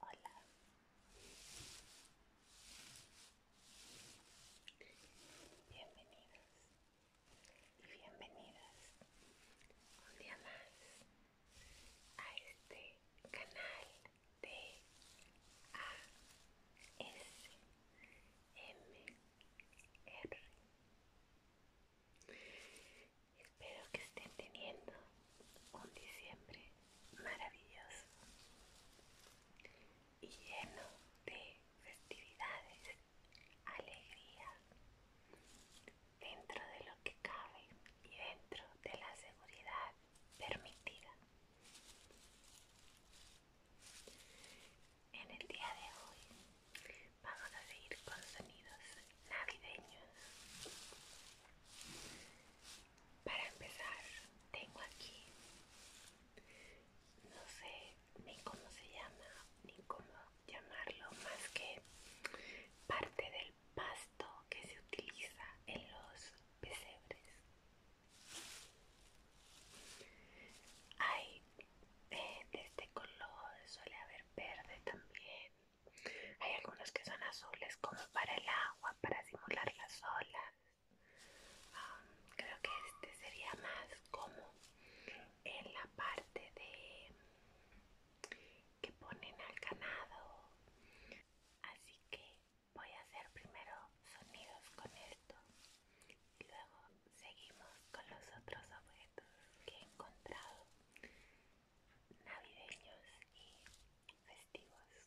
Hola. Bienvenidos y bienvenidas un día más a este canal de ASMR. Espero que estén teniendo un diciembre maravilloso y lleno de festividades, alegría, dentro de lo que cabe y dentro de la seguridad permitida. En el día de hoy vamos a seguir con sonidos navideños. Para empezar, tengo aquí, no sé ni cómo se llama, ni cómo llamarlo, más que parte del pasto que se utiliza en los pesebres. Hay eh, de este color, suele haber verde también. Hay algunos que son azules como para el agua, para simular las olas. creo que este sería más como en la parte de que ponen al ganado. Así que voy a hacer primero sonidos con esto y luego seguimos con los otros objetos que he encontrado navideños y festivos.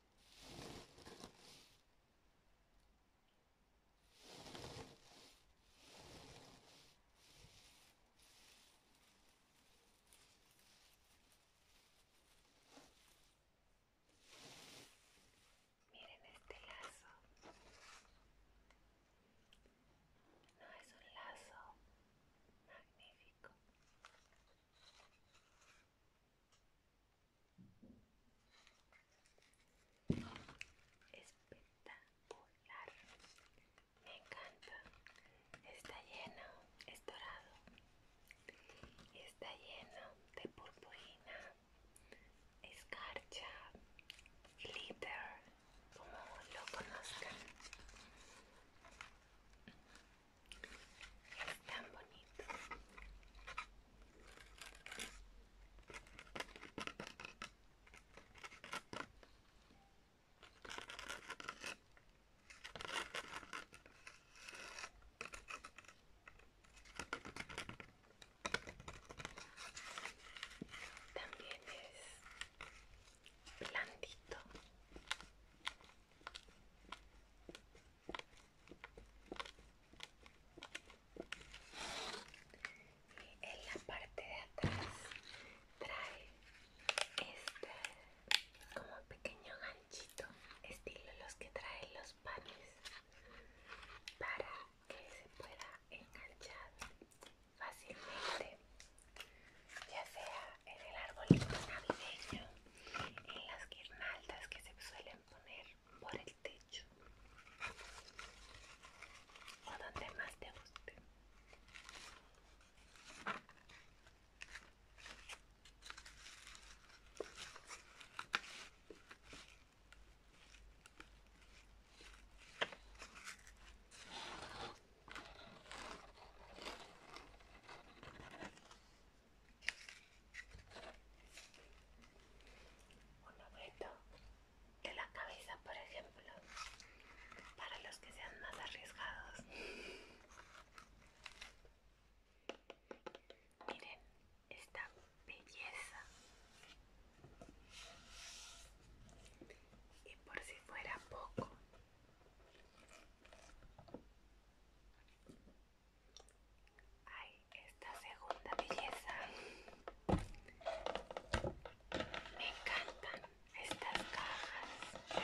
Miren este lazo. No es un lazo magnífico. Espectacular. Me encanta. Está lleno, es dorado. Está lleno de purpurina, escarcha, glitter, como lo conozcan. Es tan bonito. También es blandito. Y en la parte de atrás trae este como pequeño ganchito, estilo los que traen los panes, para que se pueda enganchar fácilmente, ya sea en el arbolito navideño en las guirnaldas que se suelen poner por el techo o donde más te guste un objeto de la cabeza, por ejemplo, para los que sean más arriesgados. Miren esta belleza. Y por si fuera poco, Ay, esta segunda belleza. Me encantan estas cajas.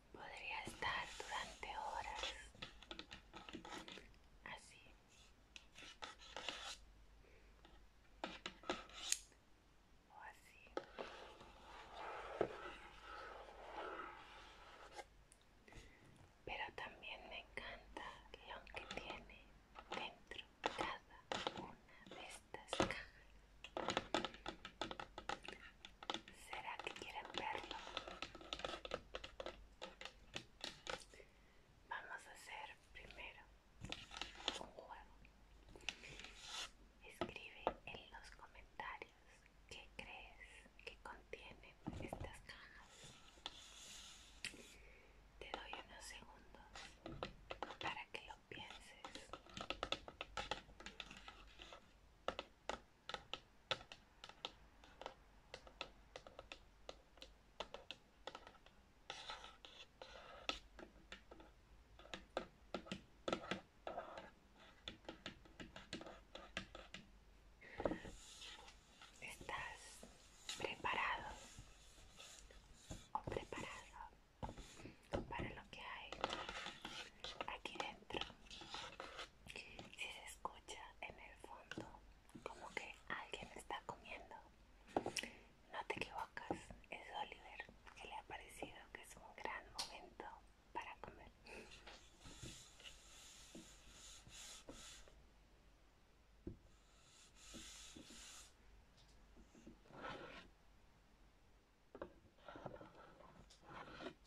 podría estar durante horas así o así pero también me encanta lo que tiene dentro cada una de estas cajas ¿Será que quieren verlo? Vamos a hacer primero un juego. Escribe en los comentarios qué crees que contienen estas cajas. Te doy unos segundos para que lo pienses. ¿Estás preparado o preparado para lo que hay aquí dentro? Si se escucha en el fondo como que alguien está comiendo, no te equivocas, es Oliver que le ha parecido que es un gran momento para comer.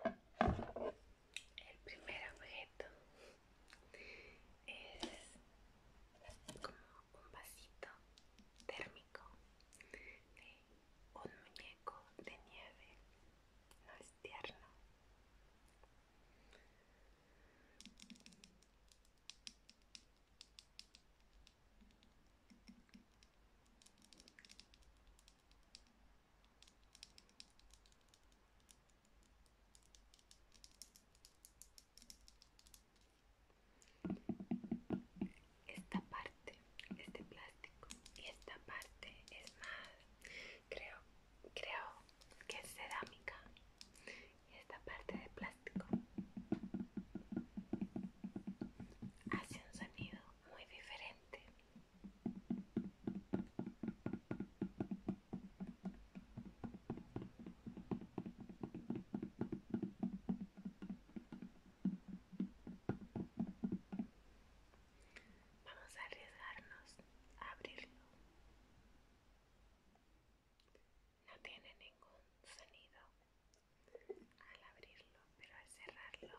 El primer objeto es como un vasito térmico de un muñeco de nieve, no es tierno. Esta parte es de plástico y esta parte es más, creo, creo que es cerámica y esta parte de plástico hace un sonido muy diferente Vamos a arriesgarnos a abrirlo. No tiene ningún sonido al abrirlo, pero al cerrarlo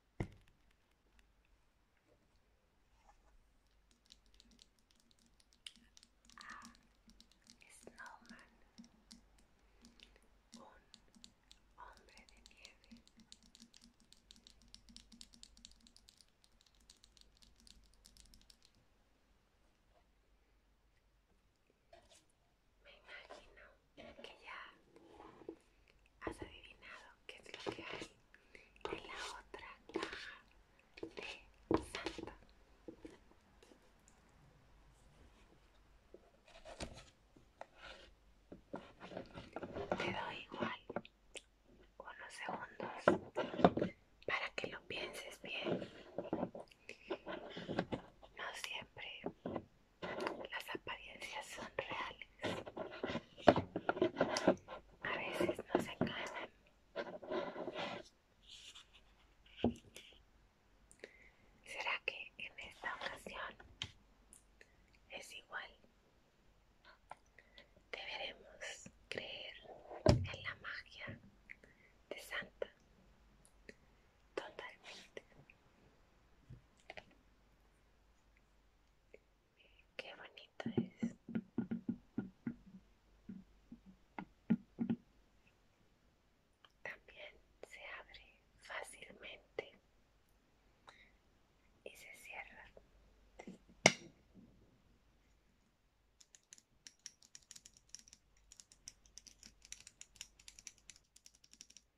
Ah, Snowman, un hombre de nieve. Me imagino que ya has adivinado qué es lo que hay en la otra caja de Santa. Te doy igual unos segundos para que lo pienses bien. No siempre las apariencias son reales. A veces se enganan. ¿Será que en esta ocasión es igual? Deberemos creer en la magia de Santa totalmente. Qué bonito es. También se abre fácilmente y se cierra.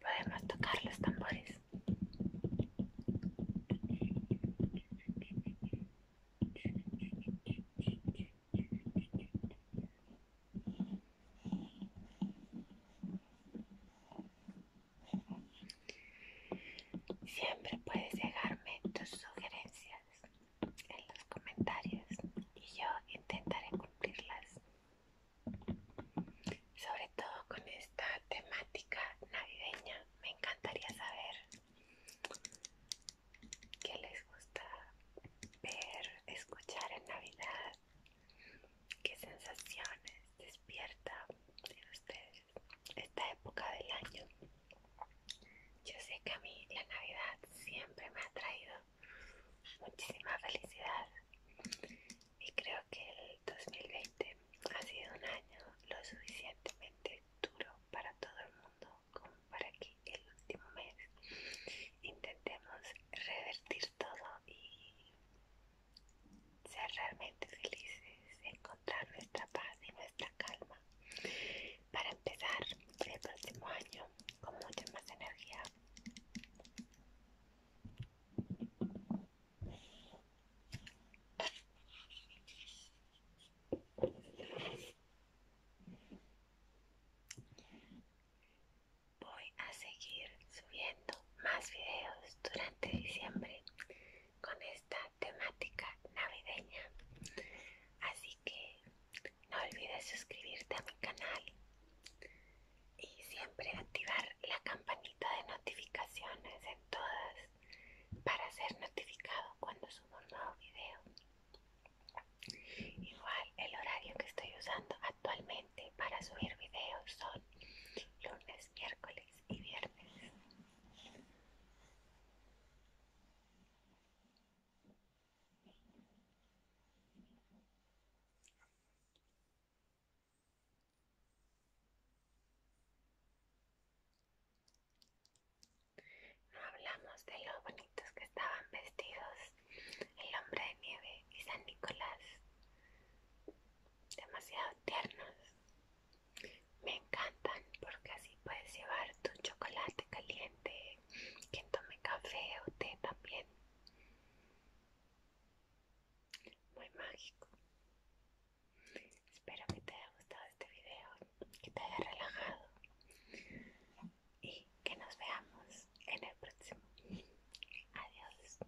Podemos tocar los tambores. Siempre puedes dejarme tus sugerencias en los comentarios y yo intentaré cumplirlas sobre todo con esta temática navideña me encantaría saber qué les gusta ver escuchar en navidad qué sensaciones despierta en ustedes esta época del año yo sé que a mí la navidad siempre me ha traído muchísima felicidad y creo que el 2020 ha sido un año lo suficientemente duro para todo el mundo como para que el último mes intentemos revertir todo y ser realmente felices, encontrar nuestra paz y nuestra calma para empezar el próximo año con mucha más energía. Voy a seguir subiendo más videos durante diciembre con esta temática navideña. Así que no olvides suscribirte a mi canal y siempre activar la campanita de notificaciones en todas para ser notificado cuando subo un nuevo video. Igual el horario que estoy usando actualmente para subir videos son lunes, miércoles y viernes. No hablamos de lo bonitos que estaban vestidos el hombre de nieve y San Nicolás. Demasiado tiernos. Me encantan porque así puedes llevar tu chocolate caliente, quien tome café o té también muy mágico. Espero que te haya gustado este video, que te haya relajado y que nos veamos en el próximo. Adiós.